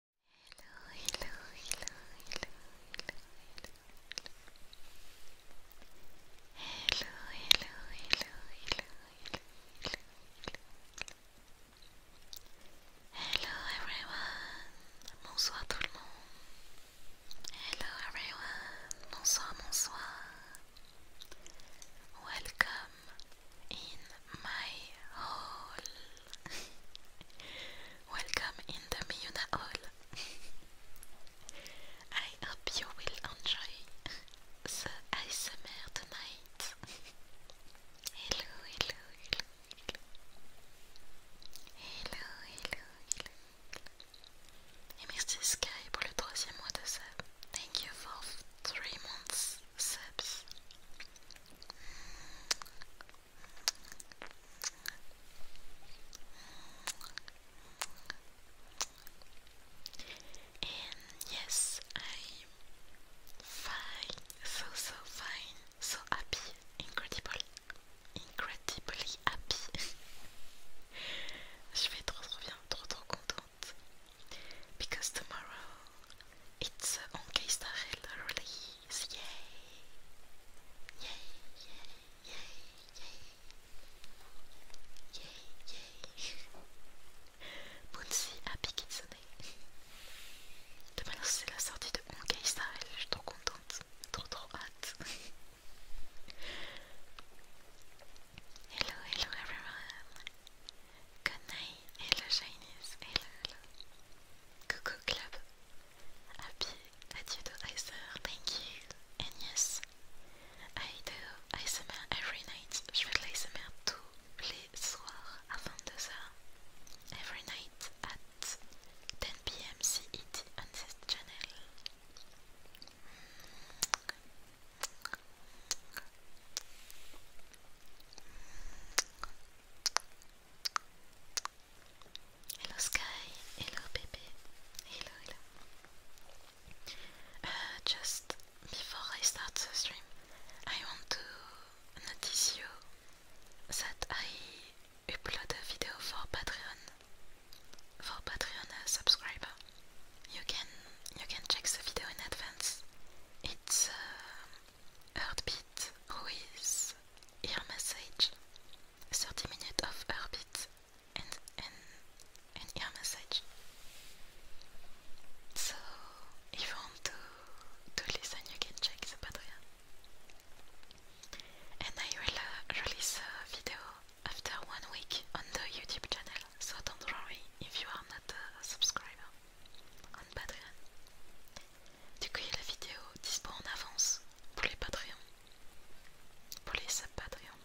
hello, hello, hello, hello, hello, hello, hello, hello, hello everyone, bonsoir tout le monde, hello everyone, bonsoir, bonsoir, welcome in my hall. Welcome in the Miyuna Hall. I hope you will enjoy the ASMR tonight. hello, hello, hello, hello, hello, hello, hello. Et Sky pour le troisième mois de sub. Thank you for three months subs. And yes, I'm fine, so so fine, so happy, incredible, incredibly happy. Je vais trop trop bien, trop Because tomorrow it's on Starrel, really please. Yay. Yay, yay, yay, yay. Yay, yay. Bunsi Happy Kitsune. Demain, c'est la sortie de Honkai Style. Je suis trop contente. Trop, trop hâte. hello, hello everyone. Good night. Hello, Chinese. hello. Coucou Club. Happy do Icer, thank you. And yes, I do ASMR every night. Je fais de l'ASMR tous les soirs à 22h. Every night at 10pm CET on this channel. Hello Sky, hello baby, hello hello. Uh, just before I start the stream, I want to notice you that I upload a video for Patreon, for Patreon uh, subscriber. You can you can check the video in advance. It's uh, Heartbeat with ear massage. 30 minutes of heartbeat and an ear massage. So if you want to, listen you can check the Patreon. And I will uh, release a video after one week on the YouTube channel, so don't worry if you are not a subscriber. on Patreon. Du coup, il y a la vidéo dispo en avance pour les Patreons, pour les sub-Patreons.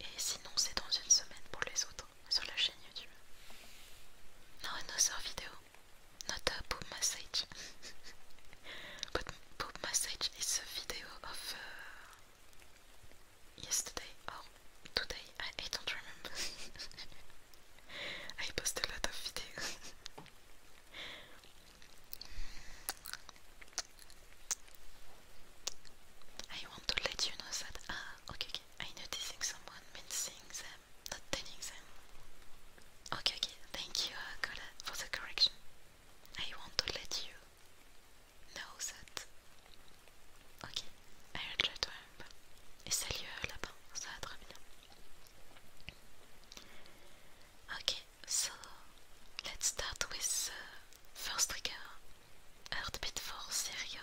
Et sinon, c'est dans une semaine pour les autres sur la chaîne YouTube. Non, another vidéo. Not a boob massage. But boob massage is a video of euh, yesterday or today. I, I don't remember. I post a lot of videos. I want to let you know that ah okay okay I noticing someone mincing them, not telling Okay okay thank you uh, Cola for the correction. I want to let you know that Ok, elle try to remember. Et salut euh, lapin, Okay, so let's start with uh, first trigger, Heartbeat for Serio.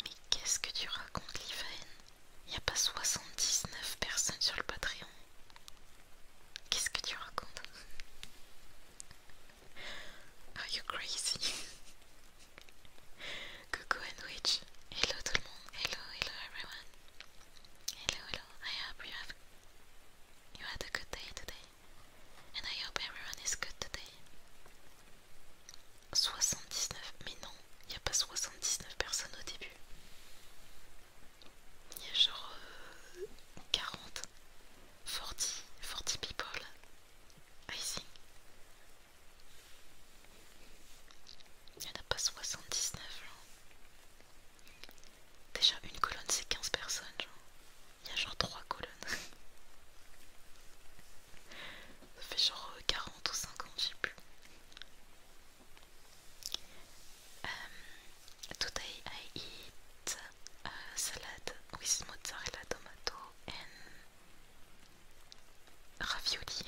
Mais qu'est-ce que tu racontes, Livane? Il n'y a pas 79 personnes sur le Patreon. Qu'est-ce que tu racontes Are you crazy Coucou Witch, hello tout le monde, hello, hello everyone. Hello, hello, I hope you have had a good day today. And I hope everyone is good today. 79, mais non, il n'y a pas 79 personnes au début. Il y a genre 40, 40, 40 people, I think. Il en a pas 79 genre. Déjà une colonne c'est 15 personnes genre. Il y a genre 3 colonnes. Ça fait genre 40 euh, ou 50 je plus. Euh, today I eat a salad with mozzarella tomato and Ravioli.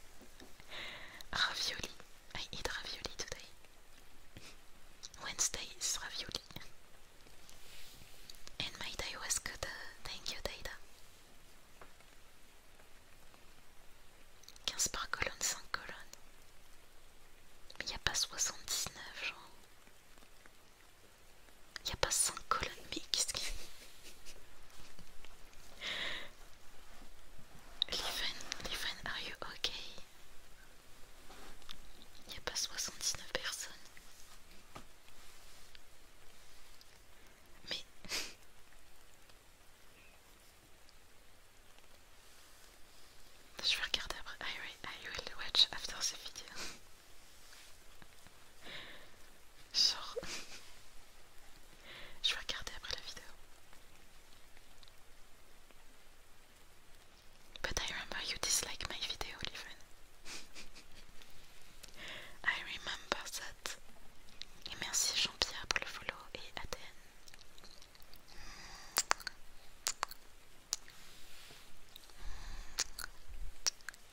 ravioli. I eat ravioli today. Wednesday is ravioli. Et my day was good. thank you, Data. 15 par colonne, 5 colonnes. Mais il n'y a pas 79, genre. Il n'y a pas 5 colonnes, mais qu'est-ce qu'il. Liven, Liven, are you okay? Il n'y a pas 79 personnes. Mais. Je vais regarder après. I will, watch after this video. Genre... Je vais regarder après la vidéo. But I remember you dislike my video, Je I remember that. Et merci Jean-Pierre pour le follow et Aden.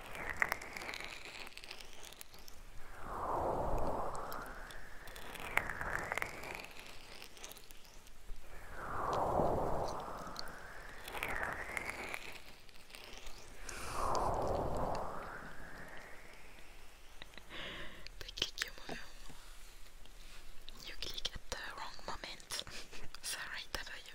They click your move. You click at the wrong moment. Sorry, that you.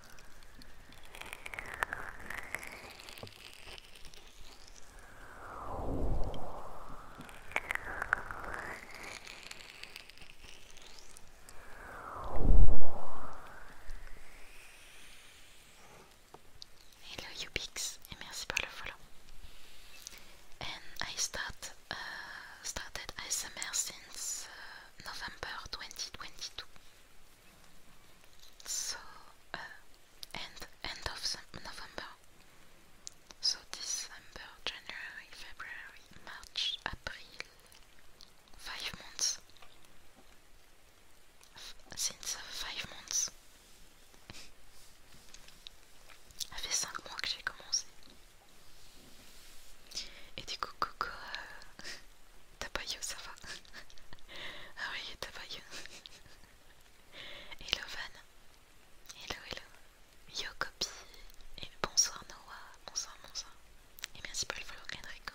Hello Ubix et merci pour le follow. And I start, uh, started ASMR since uh, November 2022. So uh, end end of November. So December, January, February, March, April. Five months. since uh, five months. Ça fait 5 mois que j'ai commencé. Et du coup, coucou, euh, Tapailleux, ça va. ah oui, tapailleux. hello Van. Hello, hello. Yo copie. bonsoir Noah. Bonsoir, bonsoir. Et merci pour le follow, Enrico.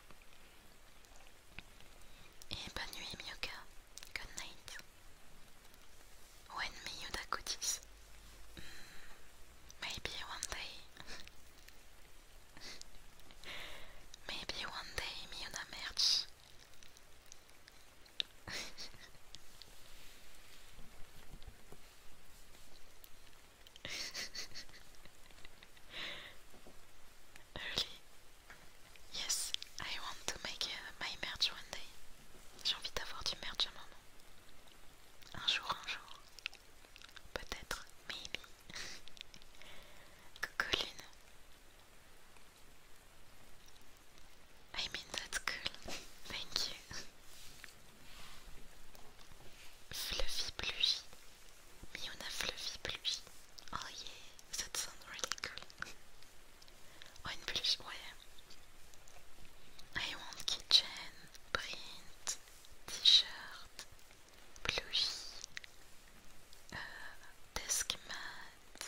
Et bonne nuit, Miyuka. Good night. When may you do this? Mm, maybe one day. maybe one day, Miyuda merch. Oui. Yes, I want to make uh, my merch one day. J'ai envie d'avoir du merch un moment. Un jour, un jour. Peut-être, maybe. Coucou Lune. I mean, that's cool. Thank you. Fluffy pluie. Mais on a Fluffy Pluie. Oh yeah, that sounds really cool. oh, une pluie, ouais. I want kitchen, print, t-shirt, pluie, euh, desk mat,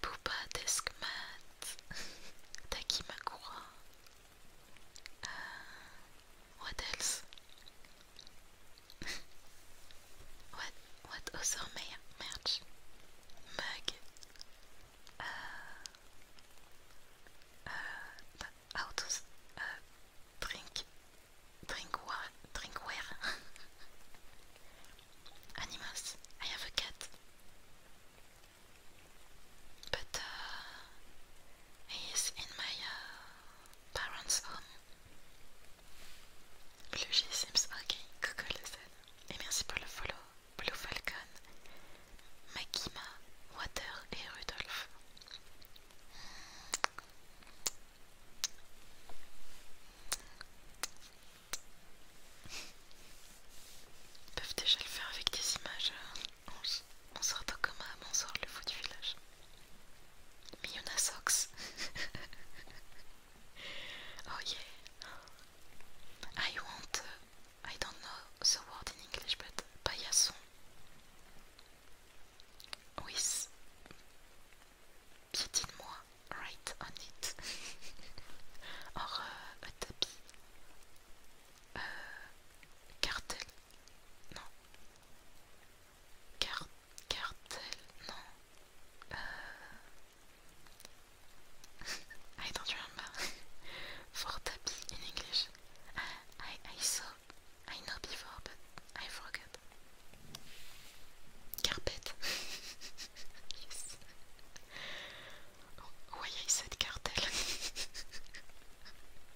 Poupa desk mat, Takimakura. Euh, what else? what what also may mug uh how uh, to uh drink drinkware drinkware animals I have a cat but uh in my uh, Parents Home. blue G Sims, ok, coco le Z. Et merci pour le follow. Blue Falcon, Makima, Water et Rudolph. Ils peuvent déjà le faire avec des images. Hein. On sort sortant comme un sort le fou du village. a Sox. oh yeah. I want. Uh, I don't know the word in English, but paillasson. With. Piétine-moi, right on it. Or uh, a tapis. Uh, cartel. Non. cartel Non. Euh... I don't remember. Fortapi in English. Ah, I, I saw, I know before, but I forgot. Carpet. yes. Oh, why I said cartel?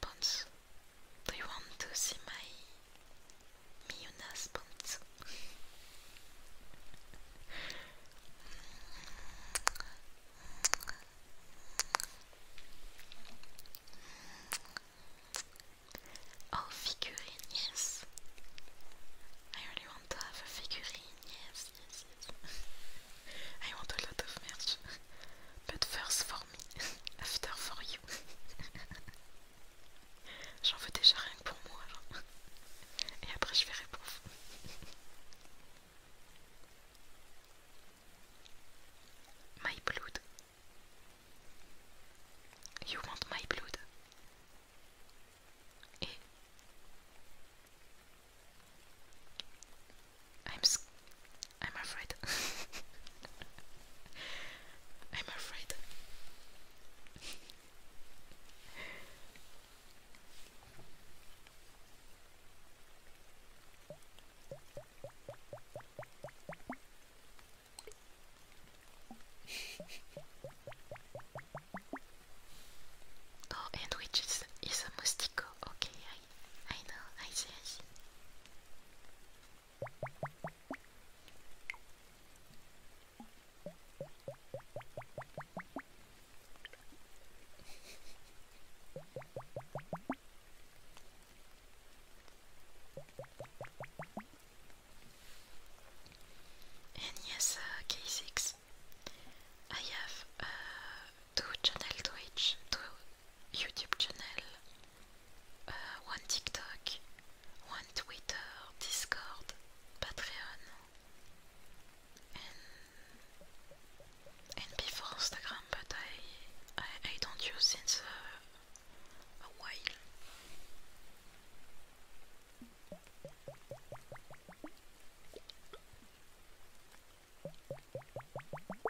Ponzu. Do you want to see my Miuna's Ponzu? Oh, figurine, yes. I really want to have a figurine, yes, yes, yes. I want a lot of merch. But first, for after for you. J'en veux déjà rien pour moi. Et après je verrai pour My blood. You want my blood. Et I'm I'm afraid. I'm afraid. oh, and which is, is a Moustico. Okay, I, I know, I see, I see and yes, uh, I have uh, two channel Twitch, two YouTube channel, euh, One TikTok, One Twitter, Discord, Patreon, and, and Instagram, but I, I, I don't use since uh, a while.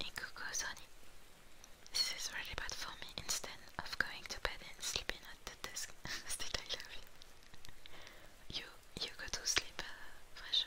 It could go This is really bad for me. Instead of going to bed and sleeping at the desk, still I love it. You you go to sleep, uh, Fresh.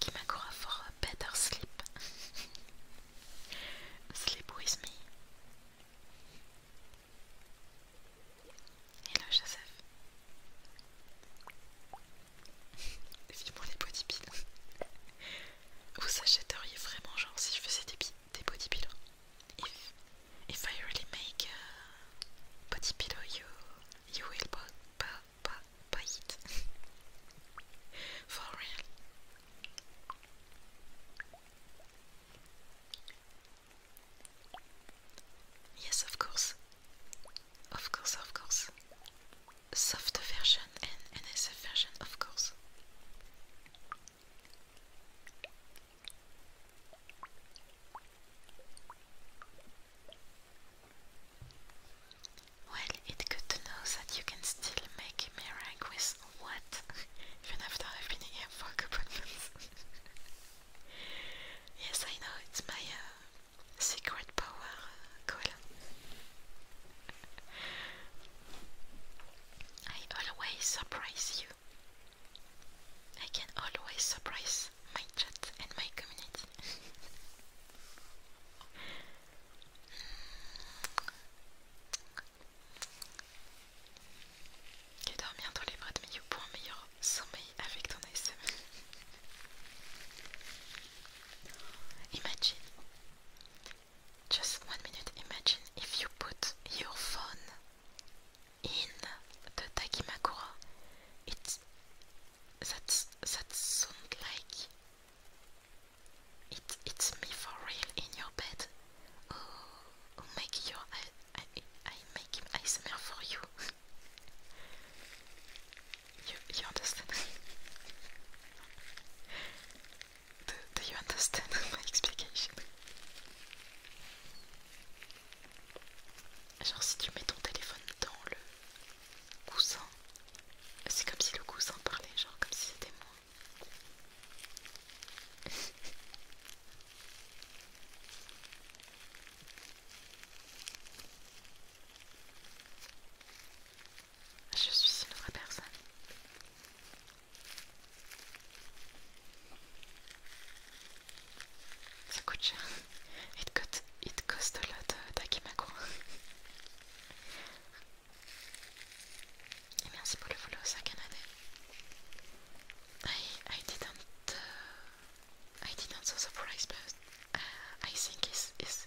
qui a euh, better sleep. sleep with me. Hello Joseph. moi les body pillows, Vous s'achèteriez vraiment, genre, si je faisais des, des body pillows hein. if, if I really make a body pillow, you, you will pas but buy it. For real. Yes, of course. Of course, of course. soft version and NSF version, of course. Well, it's good to know that you can still make a meringue with what? Even after I've been here for a couple months. yes, I know, it's my uh, Secret power goal. I always surprise you. I can always surprise my chat and my community. Et dormir dans les bras de Miyu pour un meilleur sommeil avec ton Imagine, just one minute, imagine if you put your phone in the Takimakura. It's that's that sound like it's it's me for real in your bed. Oh, oh make your I I make him ASMR for you. You understand? do, you explication? Genre si tu mets ton téléphone dans le coussin, c'est comme si le coussin parlait, genre comme si c'était moi. Je suis une vraie personne. Ça coûte cher. It, coûte it cost a lot d'Akimako. Euh, merci pour le follow, ça Canada. I, I didn't... Uh, I didn't so surprise, but uh, I think it's, it's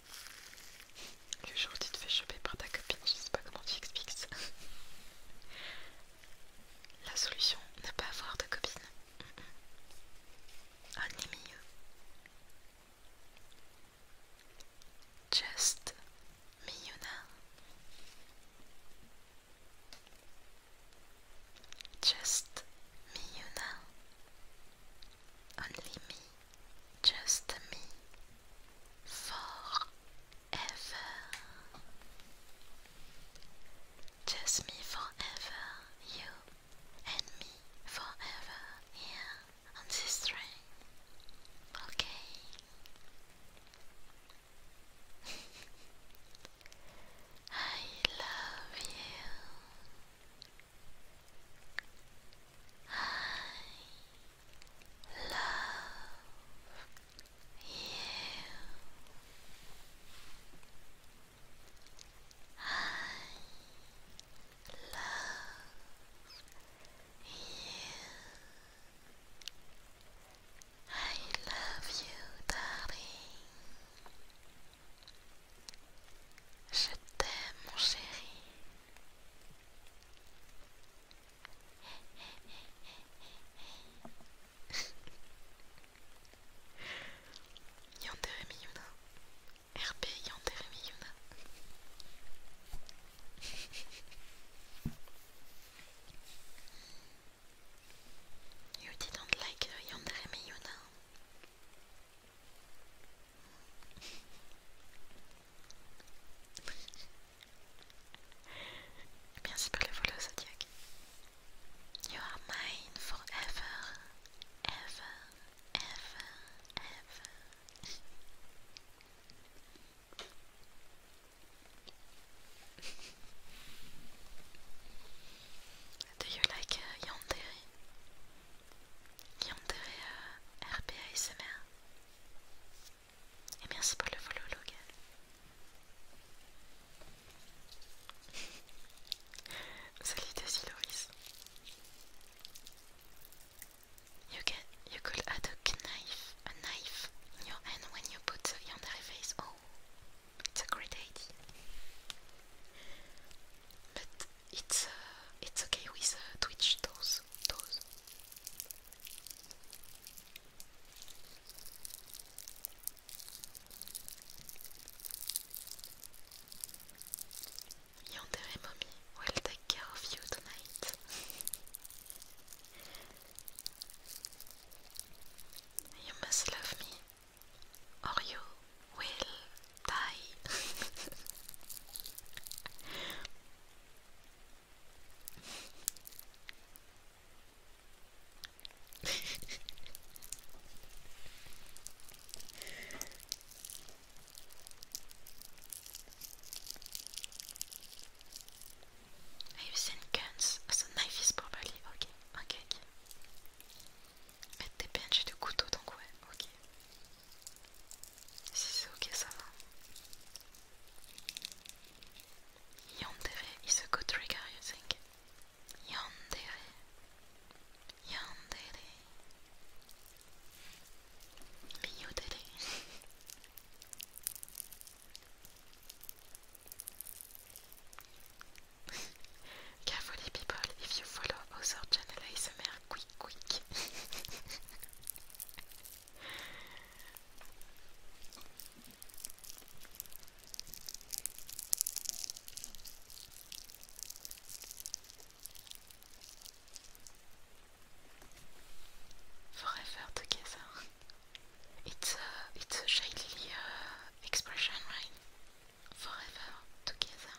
Le jour où tu te fais choper par ta copine, je sais pas comment tu expliques ça. La solution, ne pas avoir de copine. Only me Just me, you Just me, you Only me. just me forever. Just me forever, you and me forever here on this train. Okay. I love you. I love you. I love you. I love you, darling. Je t'aime, mon chéri. Yandere RP Yandere you didn't like the Merci pour le follow, Zodiac. You are mine forever, ever, ever, ever. Do you like uh, Yandere? Yandere uh, Et merci pour le follow Logan. You get you could add a knife a knife your hand when you put the yandere face. Oh it's a great idea. But it's uh, it's okay with uh, Twitch those those Yandere mommy will take care of you tonight. you must love me, or you will die. Are you seen guns? Ah, so knife is probably ok, ok, ok. t'es des j'ai du couteau donc ouais, ok. Si c'est ok, a good trigger, you think? Yandere. Yandere. Miyodere. Carefully, people, if you follow other channel ASMR, quick, quick. Forever together. It's a it's a shady uh, expression, right? Forever together.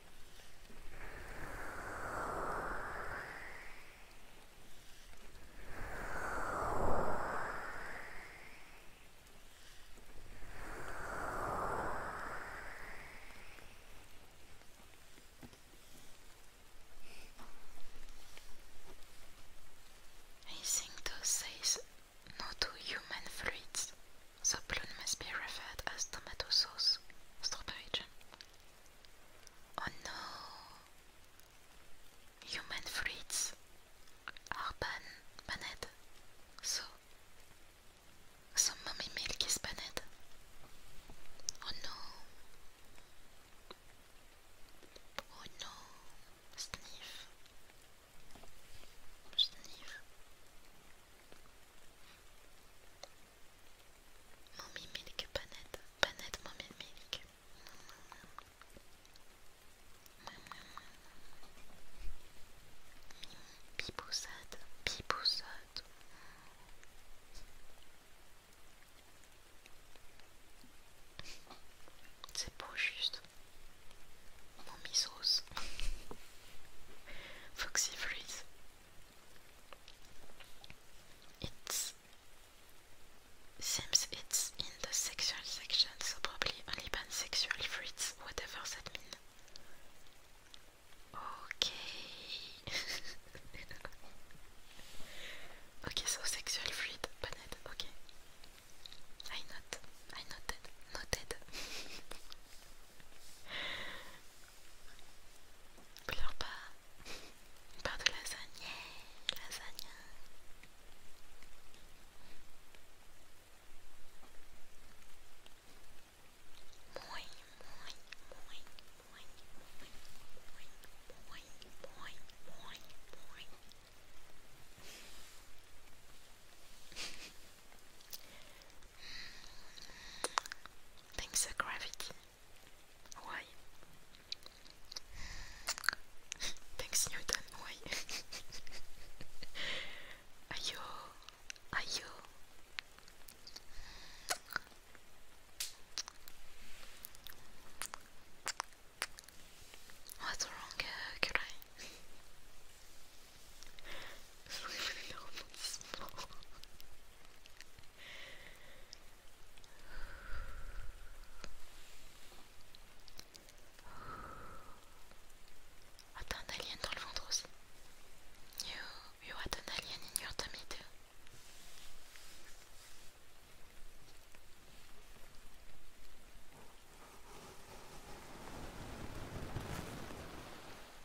I think those says no human fruits the balloon must be referred as tomato sauce, strawberry jam. Oh no! Human fruits are ban banned. So, so mommy milk is banned. Oh no! Oh no! Sniff. Sniff. Mommy Milk Panette. Panette Mummy Milk. Biboussade. Biboussade. C'est beau juste. Mami Sauce. Foxy Freeze. It seems it's in the sexual section, so probably only ban sexual fruits, whatever that means. Okay. okay, so sexual fruit banned. Okay. I not. I noted. Noted. Pleure pas. Une part de lasagne. Yeah, lasagne. Moin, moin, moin, moin, moin, moin, moin, moin, moin. Thanks to uh, gravity. Why? Thanks Newton, why? are you What's wrong, uh, could I? Attends un alien dans le ventre aussi. You, you had an alien in your tummy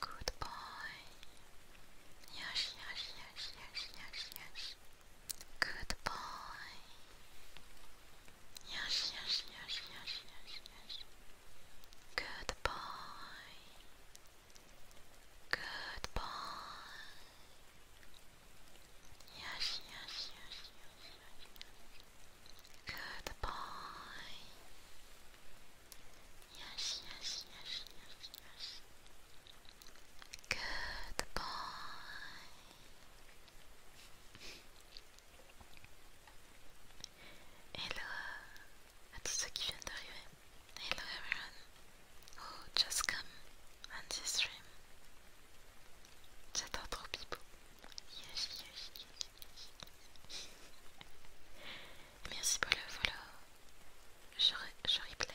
Goodbye. Yes, yes, yes, yes, yes, yes. Good Yes, yes, yes, yes, yes, yes. Good Goodbye. Yes, yes, yes, yes, yes. Goodbye. Yes, yes, yes, yes, yes. Goodbye. Hello. à tous ceux qui viennent d'arriver. Hello everyone who oh, just come on this stream. J'adore trop Pipo. Merci pour le je replay.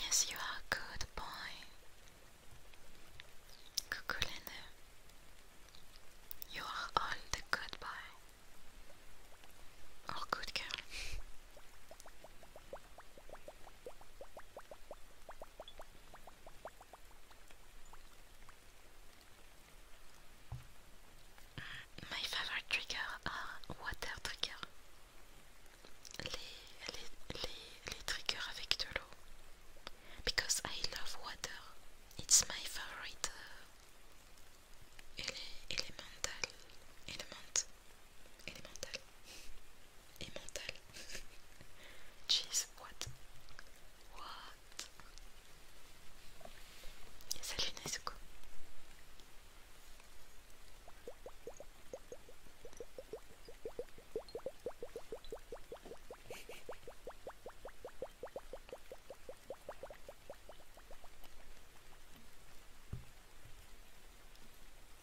Yes, you are a good boy. Kukulene, you are all the good boy. Or good girl. My favorite trigger are water trigger. Les, les, les, les triggers avec de Because I love water. It's my favorite uh, elemental. Element. Elemental. et mental. Cheese what? What? Salut Nezuko.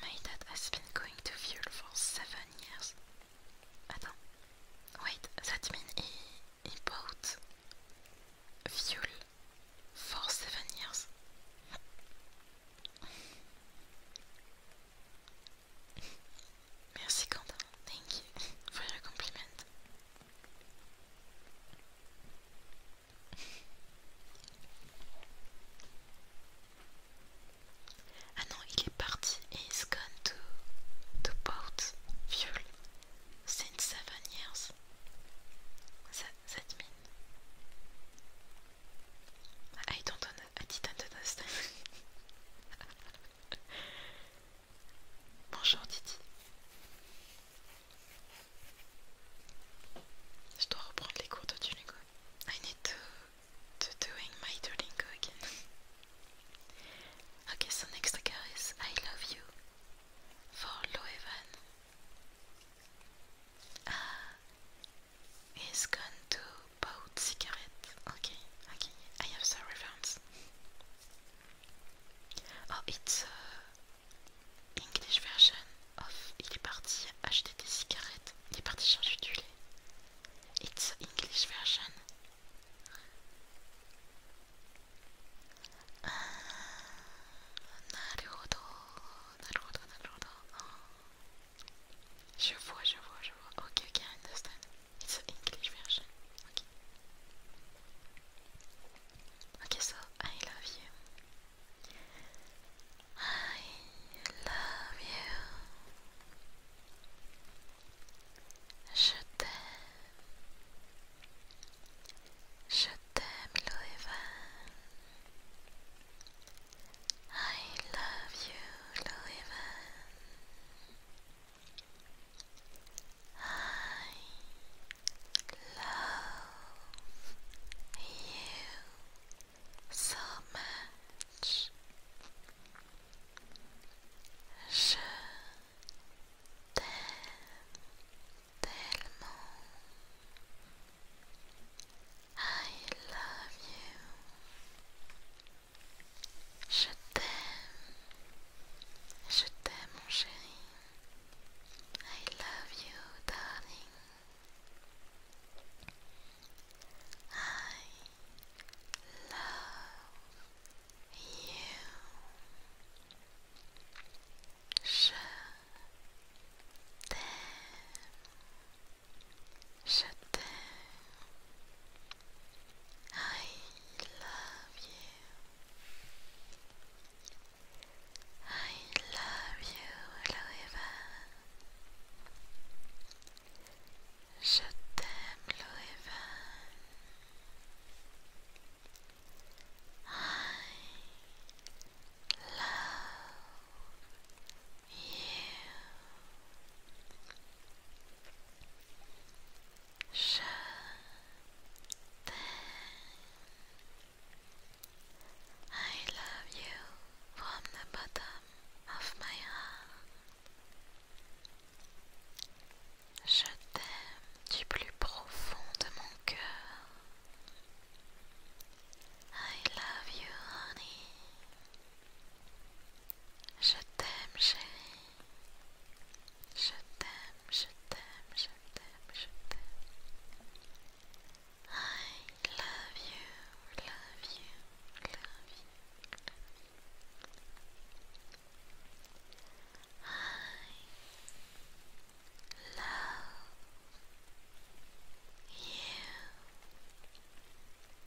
My dad has been going to Fuel for seven years. Wait, that means he, he bought Fuel for seven years. Merci Quentin, thank you for your compliment. Ah non, il est parti. He's gone to to boat fuel since seven years. That, that mean? I don't, know, I didn't understand. Bonjour Didi. Je dois reprendre les cours de Duolingo. I need to, to doing my Duolingo again. okay, so next card is I love you for Loevan. Ah, he's gone to de cigarette. ok, ok, I have the reference. Oh, it's uh, English version of Il est parti acheter des cigarettes. Il est parti chercher du lait. It's English version. Ah, oh. Je vois, je vois, je vois. Ok, ok, I understand. It's English version. Okay. so I love you. I love you. Je t'aime. Je t'aime, Loeva. I love you, Loeva. I love you so much. Je t'aime tellement. I love you. Je t'aime, je t'aime mon chéri. I love you, darling. I love you. Je t'aime, je t'aime, I love you. I love you, Loeva. Je t'aime, Loeva. I love you. I je t'aime I love you from the bottom of my heart. Je t'aime du plus profond de mon cœur. I love you, honey. Je t'aime, chérie. Shoot them, shoot them, shoot them, shoot them. I love you.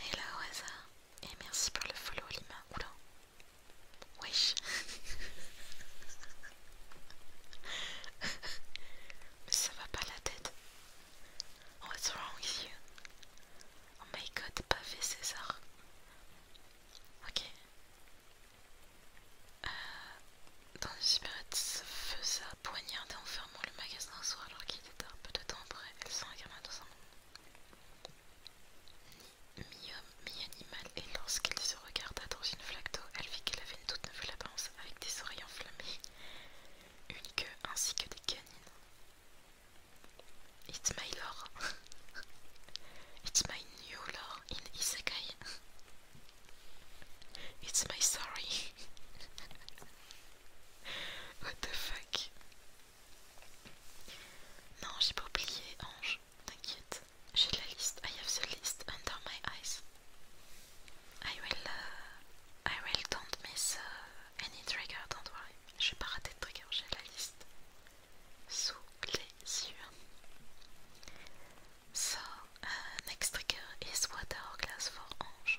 Hello là Et merci pour le follow Lima. Oula. Wesh. ça va pas la tête. What's wrong with you? Oh my god, fait César. Ok. Euh, dans une supérette se faisait poignarder en fermant le magasin au soir alors qu'il était un Peu de temps après, elle s'incarna dans un monde mi-homme, mi-animal et lorsqu'elle se regarda dans une flaque d'eau, elle vit qu'elle avait une toute nouvelle apparence avec des oreilles enflammées, une queue ainsi que des canines. It's my law. it's my new lore in Isekai. it's my story. What the fuck? Non, j'ai pas oublié, Ange. T'inquiète. J'ai la liste. I have the list under my eyes. I will. Uh, I will don't miss uh, any trigger, don't worry. I'm Je vais to rater de trigger, I have the list. sous les yeux. So, un next trigger is what hourglass for Ange.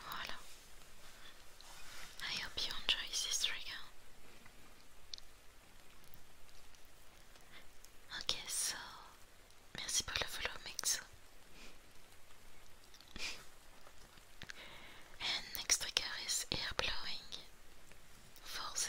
Voilà. I hope you enjoy this trigger. Ok, so. Merci pour le follow, Mexo. next trigger is air blowing 4-0.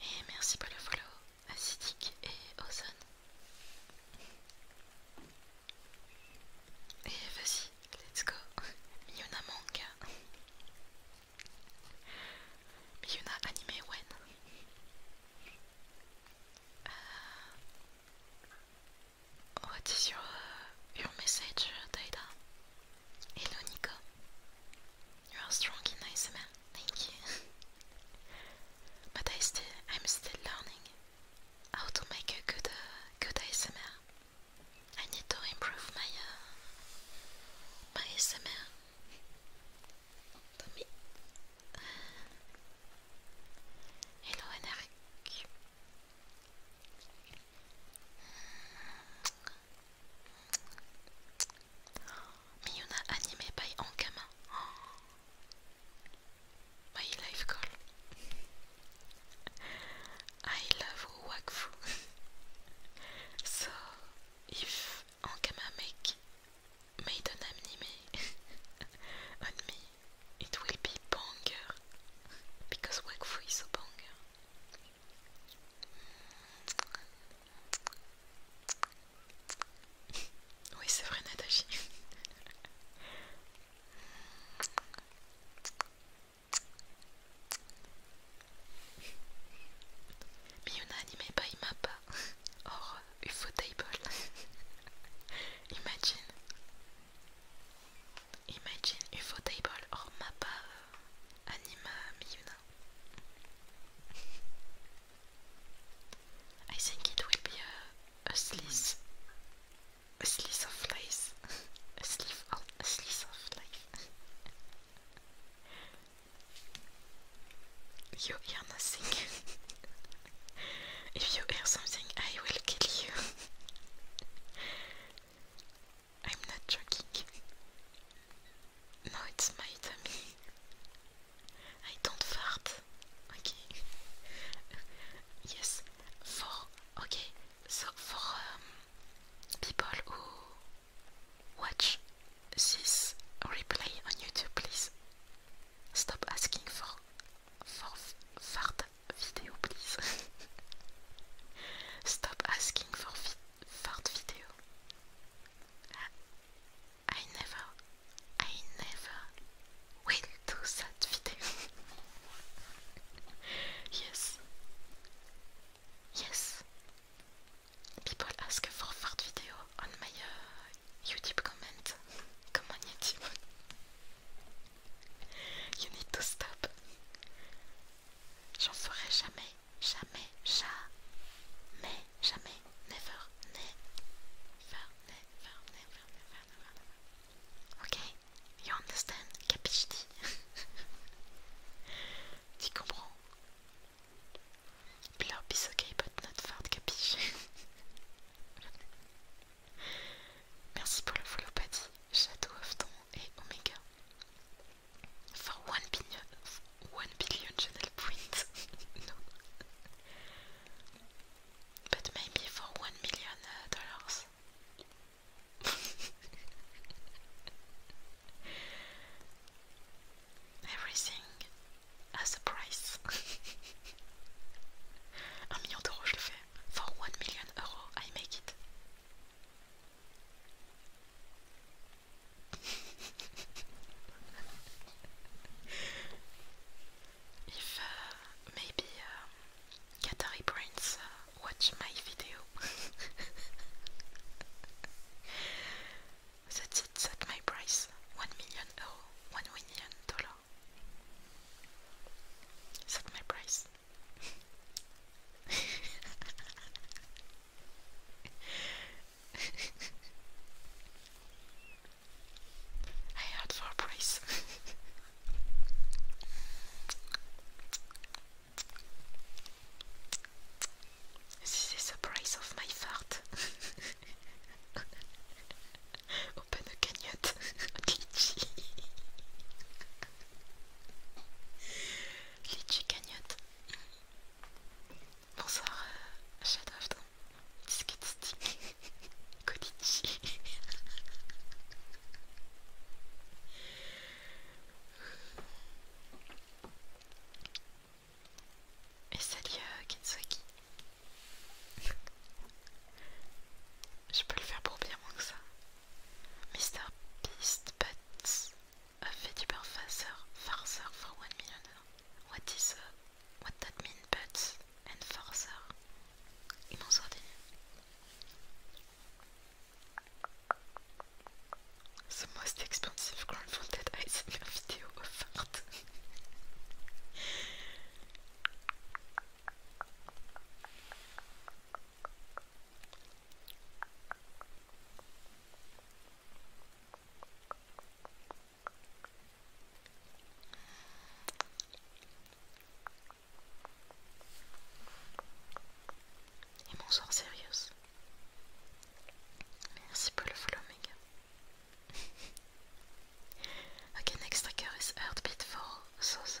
Et merci pour le follow à et Ozone. Et vas-y, let's go. Miona manga. Miona anime Wen. Uh, what is your your message, euh, Taida? Hello, Nico. You are strong in ASMR. Thank you. but I still, I'm still learning how to make a good, uh, good ASMR. I need to improve my, uh, my ASMR. Tommy, Hello nrq Miyuna animé by Ankama. Oh. My life call. I love Wakfu. so if Ankamameki made an anime on me. It will be banger because Wakfu is so banger. Oui, c'est vrai, Mais Natachi. n'a animé pas, il m'a pas. Or. a UFO table. imagine, imagine UFO table or mappa uh, anima miuna. I think it will be a, slice, a slice of life, a sleeve of a slice of life. You hear nothing. if you hear something, I will kill you. I'm not joking. No, it's my tummy. I don't fart. Okay. yes. For okay. So for um, people who watch this replay on YouTube, please. Stop asking for for fart video, please. Stop asking for vi fart video. I, never, I never will do that video. yes, yes. People ask for fart video on my YouTube comment. Come YouTube. You need to stop. J'en ferai jamais, jamais, jamais, jamais, never, never, never, never, never, never, you understand? Blurb is okay, but not fart, capiche Merci pour le follow, chateau of ton et Omega. For one billion, one billion channel points. no. But maybe for one million uh, dollars. Everything as a price. Un million d'euros, je le fais. For one million euro, I make it. if uh, maybe um, Qatari uh, watch my video, That's it, that's my price. One million euro, one million dollar. That's my price. I had for price. this is the price of my fart. Au panneau cagnotte. Litchi. Litchi cagnotte. Bonsoir, euh, Shadow disque de Stick. Kodichi. Et salut euh, je peux le faire pour bien moins que ça. Mr. Beast Butts a fait du beurre farcer for one million. What is a, what that mean butts and farceur? Ils m'ont sorti. The most expensive ground in the video of et mon sort sérieuse Merci pour le follow, okay, next trigger is Heartbeat for Soso.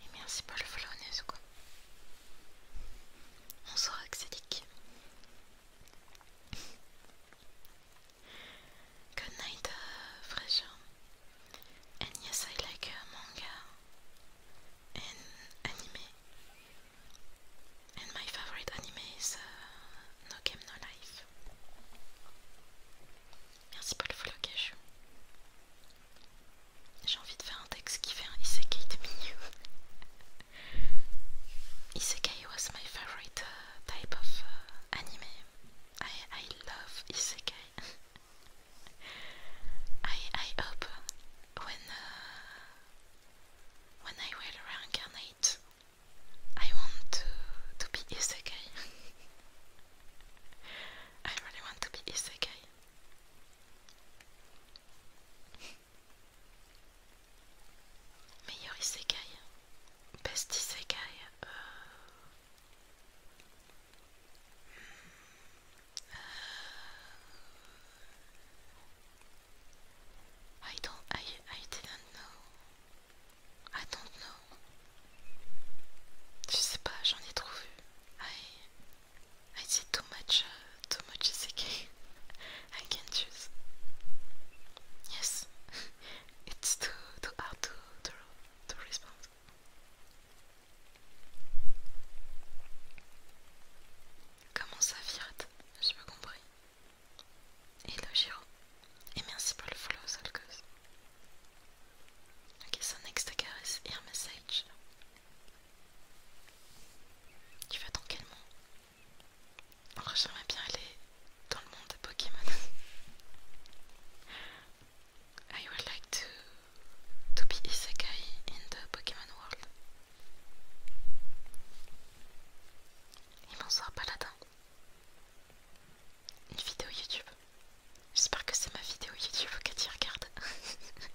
Et merci pour le n'est-ce quoi. On sera Good night, euh, fraîche And yes, I like uh, manga and anime. And my favorite anime is uh, No Game No Life. Merci pour le follow J'ai envie de faire un texte qui fait isekai de mignon. isekai was my favorite uh, type of anime. I, I love isekai. I I hope when uh, when I will reincarnate, I want to to be isekai. I really want to be isekai. Meilleur isekai, best isekai. Uh, I don't I I didn't know. I don't know. Je sais pas, j'en ai trop vu. I I see too much uh, too much is again. I can't choose. Yes. it's too too hard to to to respond. Comment ça virate J'ai pas compris. Hello Giro. Et merci pour le follow Solcos. Ok, so next I is ear message. Tu vas dans quel monde Alors j'aimerais bien aller dans le monde de Pokémon. I would like to to be isekai in the Pokémon world. Et bonsoir Paladin. Une vidéo YouTube. J'espère que c'est ma vidéo YouTube que tu regardes.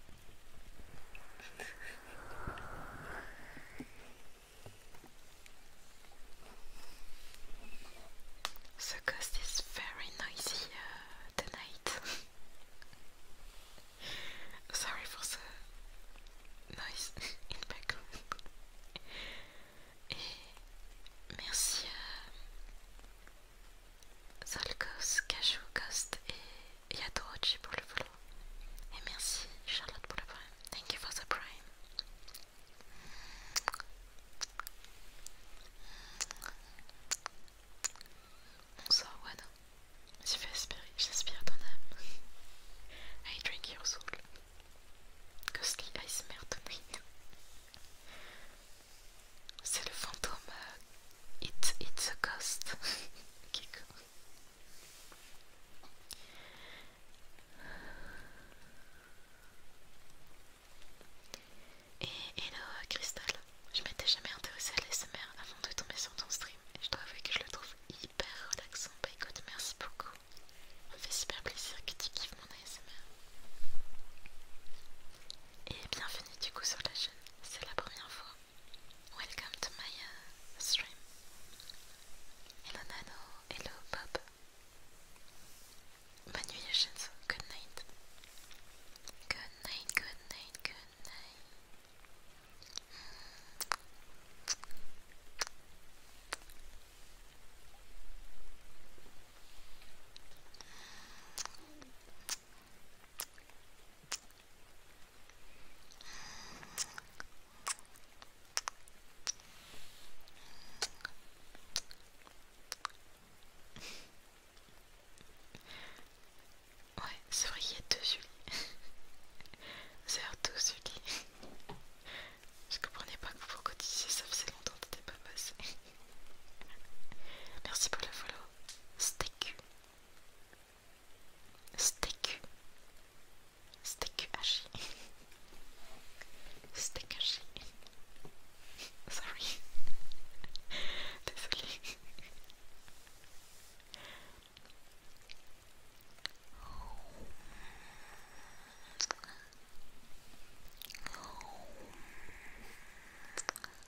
The ghost is very noisy uh, tonight. Sorry for the noise in background. Et eh, Solcos, Cashew, Ghost et Yadorochi pour le vlog. Et merci Charlotte pour le prime. Thank you for the prime. Bonsoir Wada. Tu fais espérer, j'aspire ton âme. I drink your soul. Ghostly Ice to me C'est le fantôme euh, It, it's a ghost. Ok, cool. Et hello Crystal, je m'étais jamais intéressée à l'ASMR avant de tomber sur ton stream et je dois avouer que je le trouve hyper relaxant. Bah écoute, merci beaucoup. Ça me fait super plaisir que tu kiffes mon ASMR. Et bienvenue du coup sur la chaîne, c'est la première fois welcome to my uh, stream. Hello Nano, hello Bob. Manuations, good night. Good night, good night, good night. Ouais, c'est vrai qu'il y a deux Julie. C'est deux Julie. Je comprenais pas vous vous cotiser, ça faisait longtemps que t'étais pas passé. Merci pour le follow. Steak. Stécu. Stécu haché. Steak haché. Sorry. Désolée.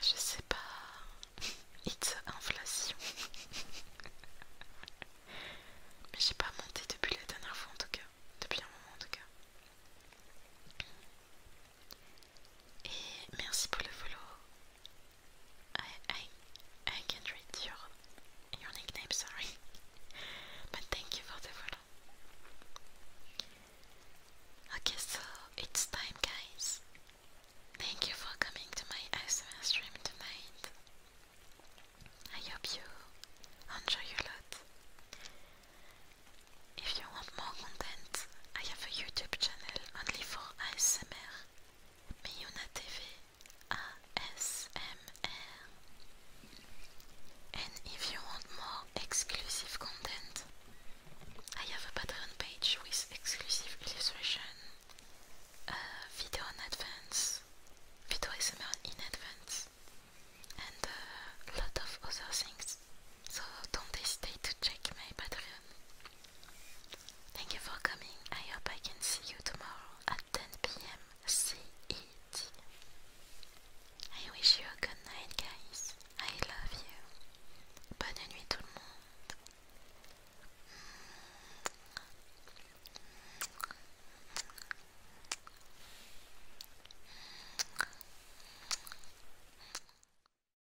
Je sais pas. It's inflation. Mais j'ai pas monté depuis la dernière fois en tout cas. Depuis un moment en tout cas. Et merci pour le follow. I I I can't read your your nickname, sorry. but thank you for the follow. Okay, so it's time guys. Thank you for coming to my ASMR stream tonight. I hope you enjoy a lot. If you want more content, I have a YouTube channel only for ASMR, Miyuna TV ASMR. And if you want more exclusive content, I have a Patreon page with exclusive illustration, uh, video in advance, video ASMR in advance, and a uh, lot of other things. So don't hesitate to check my Patreon. Thank you for coming. I hope I can see you tomorrow at 10 pm CET. I wish you a good night, guys. I love you. Bonne nuit, tout le monde.